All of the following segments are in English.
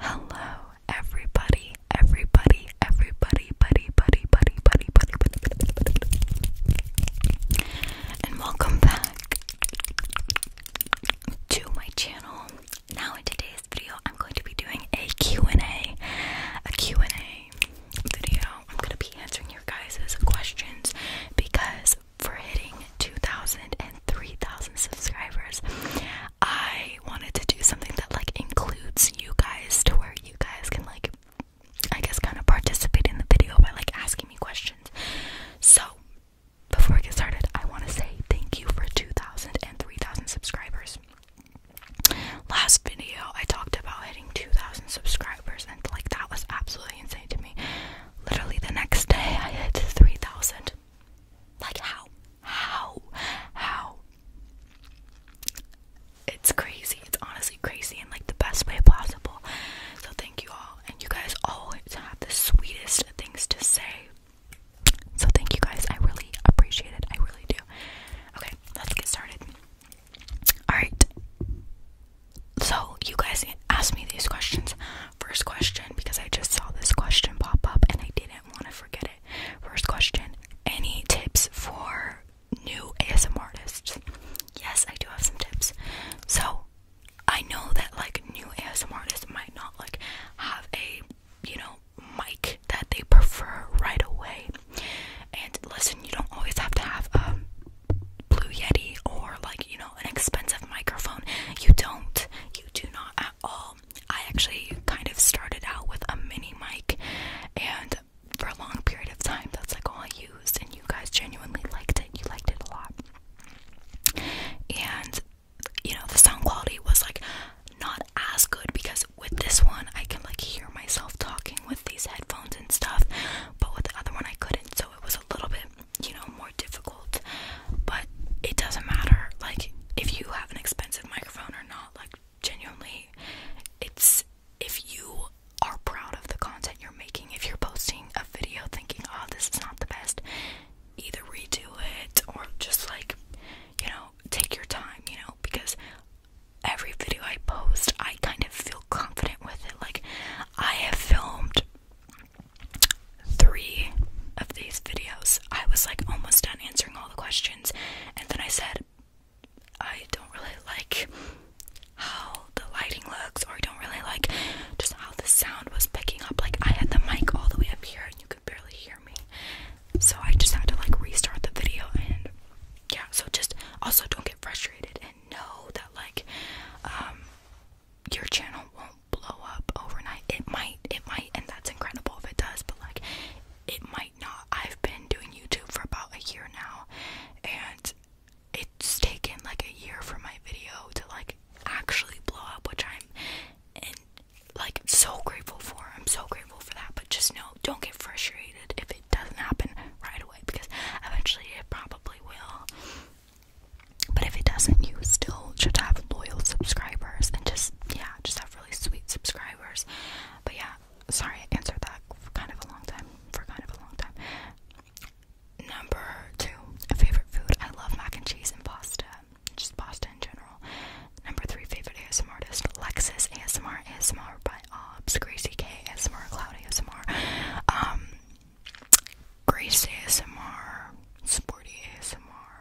Hello, everybody, everybody, everybody, buddy, buddy, buddy, buddy, buddy, buddy, buddy, buddy, buddy, and welcome back to my channel. Now, in today's video, I'm going to be doing a Q&A, a Q&A video. I'm going to be answering your guys' questions because for hitting 2,000 and 3,000 subscribers, I wanted to do something that like includes you guys to where you guys can like I guess kind of participate in the video by like asking me questions. So before I get started, I want to say thank you for 2,000 and 3,000 subscribers. Last video, I talked about hitting 2,000 subscribers, and like that was absolutely insane to me. Literally, the next day, I hit 3,000, like how? How? How? It's crazy. It's honestly crazy and like the best way possible. So thank you all. And you guys always have the sweetest things to say. So thank you guys. I really appreciate it. I really do. Okay, let's get started. Alright. So you guys asked me these questions First question, because I just saw this question pop up and I didn't want to forget it. First question Any tips for new ASMR artists? Yes, I do have some tips. So, I know that like new ASMR artists might not like have a, you know, mic that they prefer right away. And listen, you don't always have to have a Blue Yeti or like, you know an expensive microphone. You don't. You do not at all. I actually kind of started out with a mini mic and for a long period of time that's like all I used and you guys genuinely liked it. You liked it a lot. And you know, the sound quality was like not as good because with this one I can like hear myself talking with these headphones and stuff, but with the other one I couldn't. So it was a little bit, you know, more difficult, but it doesn't matter. Like, if you have an expensive microphone or not, like, genuinely, it's if you are proud of the content you're making, if you're posting a video thinking, oh, this is not the best, either redo it or just like, you know, take your time, you know, because every video I post, I kind of feel confident with it. Like, I have filmed three of these videos, I was like almost done answering all the questions, and then I said, I don't really like how the lighting looks, or I don't really like just how the sound was picking up. Like, I had the mic all the way up here, and you could barely hear me, so I just had to like restart the video. And yeah, so just also don't get frustrated and know that, like, um, your channel won't blow up overnight. It might, it might, and that's incredible if it does, but like it might not. I've been doing YouTube for about a year now and it's taken like a year for my video to like actually blow up, which I'm like so grateful for. I'm so grateful for that. But just know, don't get frustrated if it doesn't happen right away because eventually it probably will. But if it doesn't, you still should have loyal subscribers and just, yeah, just have really sweet subscribers. But yeah, sorry, I answered that for kind of a long time. For kind of a long time. Number two, favorite food. I love mac and cheese and pasta. Just pasta in general. Number three, favorite ASMR artist. Lexus ASMR, ASMR by Obs, Crazy K, ASMR, Cloud ASMR. Um, Grace ASMR, Sporty ASMR.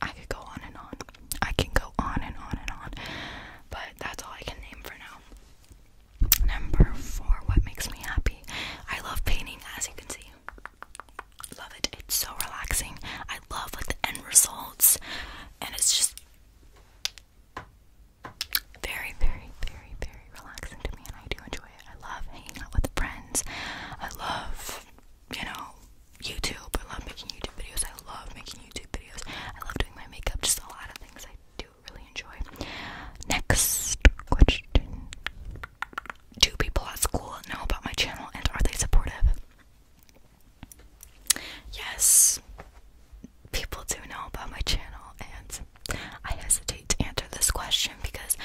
I could go on and on. I can go on and on and on. But that's all I can name for now. Number four, what makes me happy? I love painting, as you can see. Love it. It's so relaxing. I love like the end results, and it's just very, very, very, very relaxing to me, and I do enjoy it. I love hanging out with friends. I love, you know, YouTube. I love making YouTube videos. I love making YouTube videos. I love doing my makeup. Just a lot of things I do really enjoy. Next question: Do people at school know about my channel, and are they supportive? Yes people do know about my channel, and I hesitate to answer this question because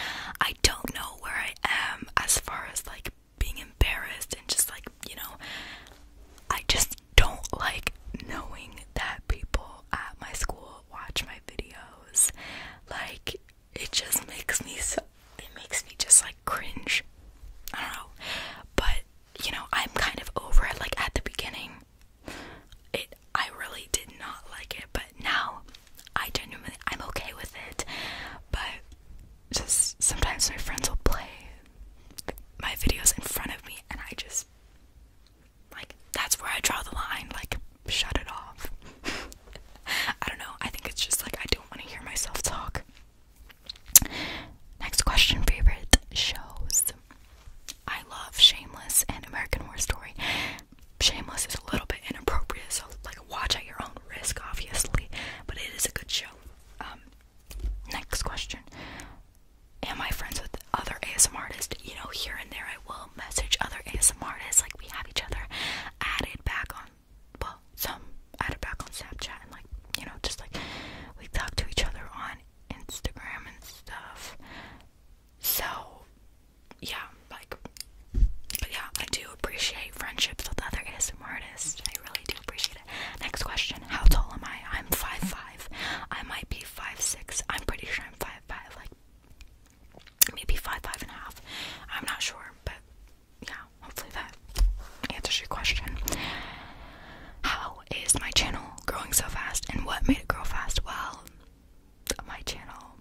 I don't know where I am as far as like being embarrassed and just like, you know, I just don't like knowing that people at my school watch my videos. Like, it just makes me so, it makes me just like cringe. I don't know. But, you know, I'm kind of over it. Like, at the beginning, it I really did not like it, but now I genuinely I'm okay with it. But just sometimes my friends will play my videos in front of me and I just like that's where I draw the line, like shut it off. I don't know. I think it's just like I don't want to hear myself talk. Next question favorite shows. I love Shameless and American Horror Story. Shameless is a little bit inappropriate, so like watch at your own risk, obviously. But it is a good show. Um, next question: Am I friends with other ASM artists? You know, here and there, I will message other ASM artists. Like we have each other added back on, well, some added back on Snapchat, and like you know, just like we talk to each other on Instagram and stuff. So, yeah, like, yeah, I do appreciate friendships with other ASMR artists. I really do appreciate it. Next question: How tall am I? I'm five five. I might be five six. I'm pretty sure I'm five five, like maybe five five and a half. I'm not sure, but yeah, hopefully that answers your question. How is my channel growing so fast and what made it grow fast? Well, my channel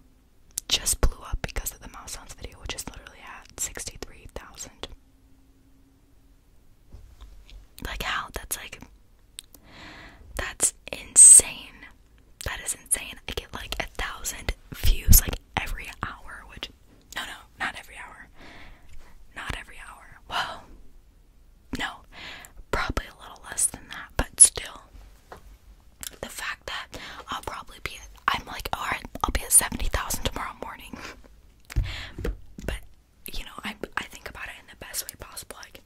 just blew up because of the mouse sounds video, which is literally at 63,000. Like, how? That's like. That's insane. That is insane. I get like a thousand views like every hour, which no, no, not every hour. Not every hour. Whoa. no, probably a little less than that, but still. The fact that I'll probably be, at, I'm like, alright, I'll be at 70,000 tomorrow morning. but, you know, I, I think about it in the best way possible. Like,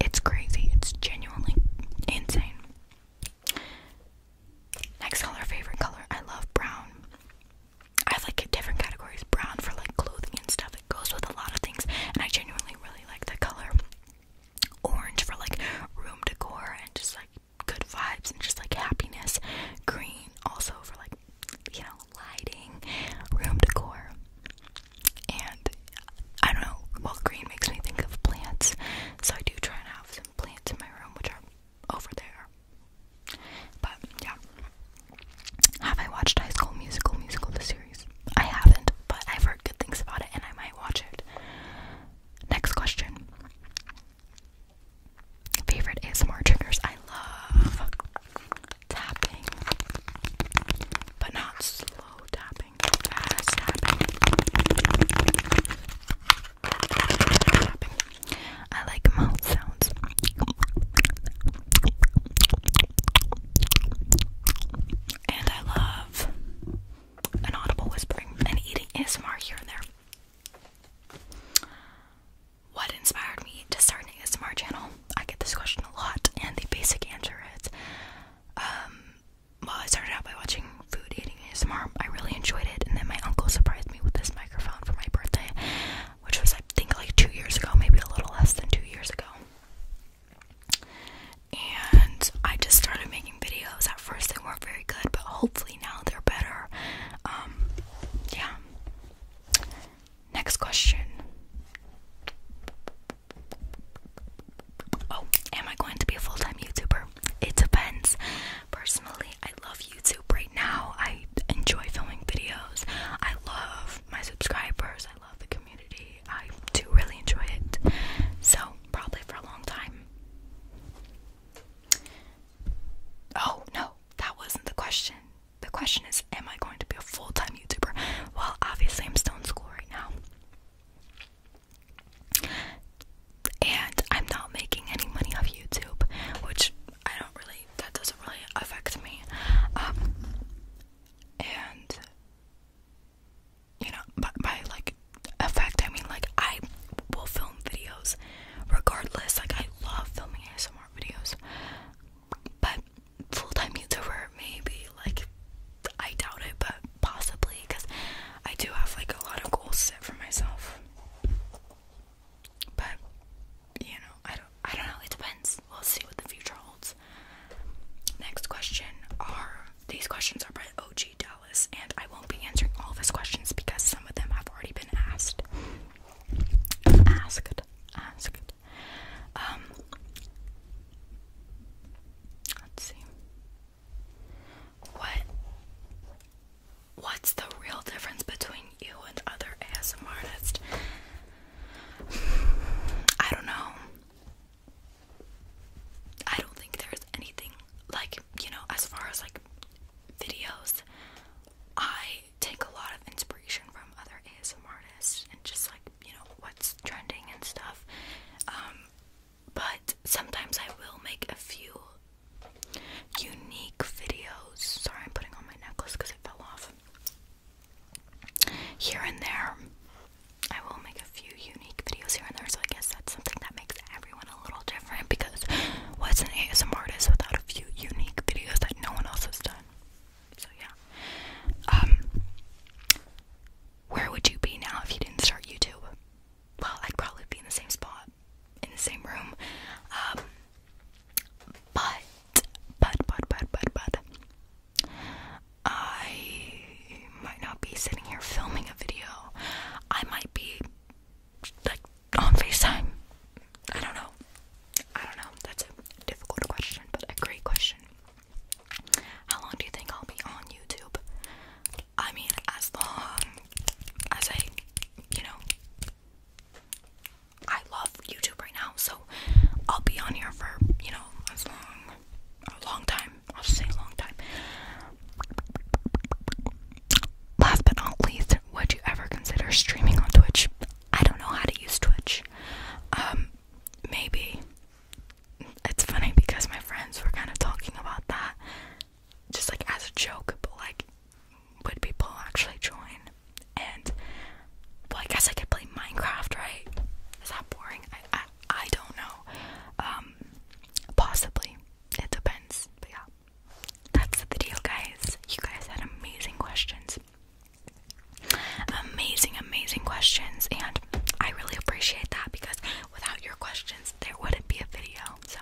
it's crazy, it's genuinely insane. Next color, favorite color. I love brown. I have like different categories brown for like clothing and stuff, it goes with a lot of things, and I genuinely really like the color. Orange for like room decor and just like good vibes and just like happiness. Green also for like you know, lighting, room decor, and I don't know. Well, green makes me think of plants, so I do try and have some plants in my room, which are over there. But yeah. Have I watched High School Musical Musical the series? I haven't, but I've heard good things about it and I might watch it. Next question. Favorite ASMR triggers? I love tapping. But not slow tapping. Fast tapping. I like mouth sounds. And I love an audible whispering and eating ASMR here and there. What inspired me to start an ASMR channel? I get this question a lot, and the basic answer is um, well, I started out by watching food eating ASMR. I really enjoyed it, and then my uncle surprised me with this microphone for my birthday, which was I think like two years ago, maybe a little less than two years ago. And I just started making videos. At first, they weren't very good, but hopefully now they're better. Um, yeah. Next question. Oh, am I going to be a full time YouTuber? It depends. Personally, I love YouTube right now. I enjoy filming videos. I love my subscribers. I love the community. I do really enjoy it. So, probably for a long time. Oh, no, that wasn't the question. The question is Am I going to be a full time YouTuber? Well, obviously, I'm still in school right now and I'm not making any money off YouTube, which I don't really, that doesn't really affect me. Um, and you know, by, like effect, I mean like I will film videos regardless. Like, I love filming ASMR videos, but full time YouTuber, maybe like I doubt it, but possibly because I do have like a lot of goals set for myself. But you know, I don't I don't know, it depends. We'll see what the future holds. Next question are these questions are by OG Dallas and I won't be answering all of his questions because some of them have already been asked. Asked. Asked. Um Let's see. What? What's the real difference between you and other ASMR artists? I don't know. I don't think there's anything like, you know, as far as like videos, I take a lot of inspiration from other ASMR artists and just like, you know, what's trending and stuff. Um, but sometimes I will make a few unique videos. Sorry, I'm putting on my necklace because it fell off. Here and there, I will make a few unique videos here and there, so I guess that's something that makes everyone a little different because what's an ASMR artist without a few unique videos that no one else has done? So, yeah. Um, where would you be now if you didn't start YouTube? Well, I'd probably be in the same spot, in the same room. Um, but, but, but, but, but, but, I might not be sitting here filming a video. I might be, like, on FaceTime. I don't know. I don't know. That's a difficult question, but a great question. How long do you think I'll be on YouTube? I mean, as long as I, you know, I love YouTube right now, so I'll be on here for, you know, as long, a long time. I'll just say a long time. Last but not least, would you ever consider streaming on Twitch? I don't know how to use Twitch. Um, maybe it's funny because my friends were kind of talking about that just like as a joke, but like would people actually join? And well, I guess I could play Minecraft, right? Is that boring? I I, don't know. Um, possibly. It depends. But yeah, that's the deal, guys. You guys had amazing questions. Amazing, amazing questions, and I really appreciate that because without your questions, there wouldn't be a video. So,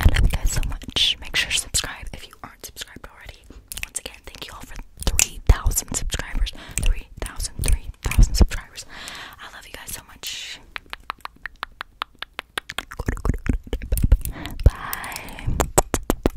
I love you guys so much. Make sure to subscribe if you aren't subscribed already. Once again, thank you all for 3,000 subscribers. 3,000, 3,000 subscribers. I love you guys so much. Bye.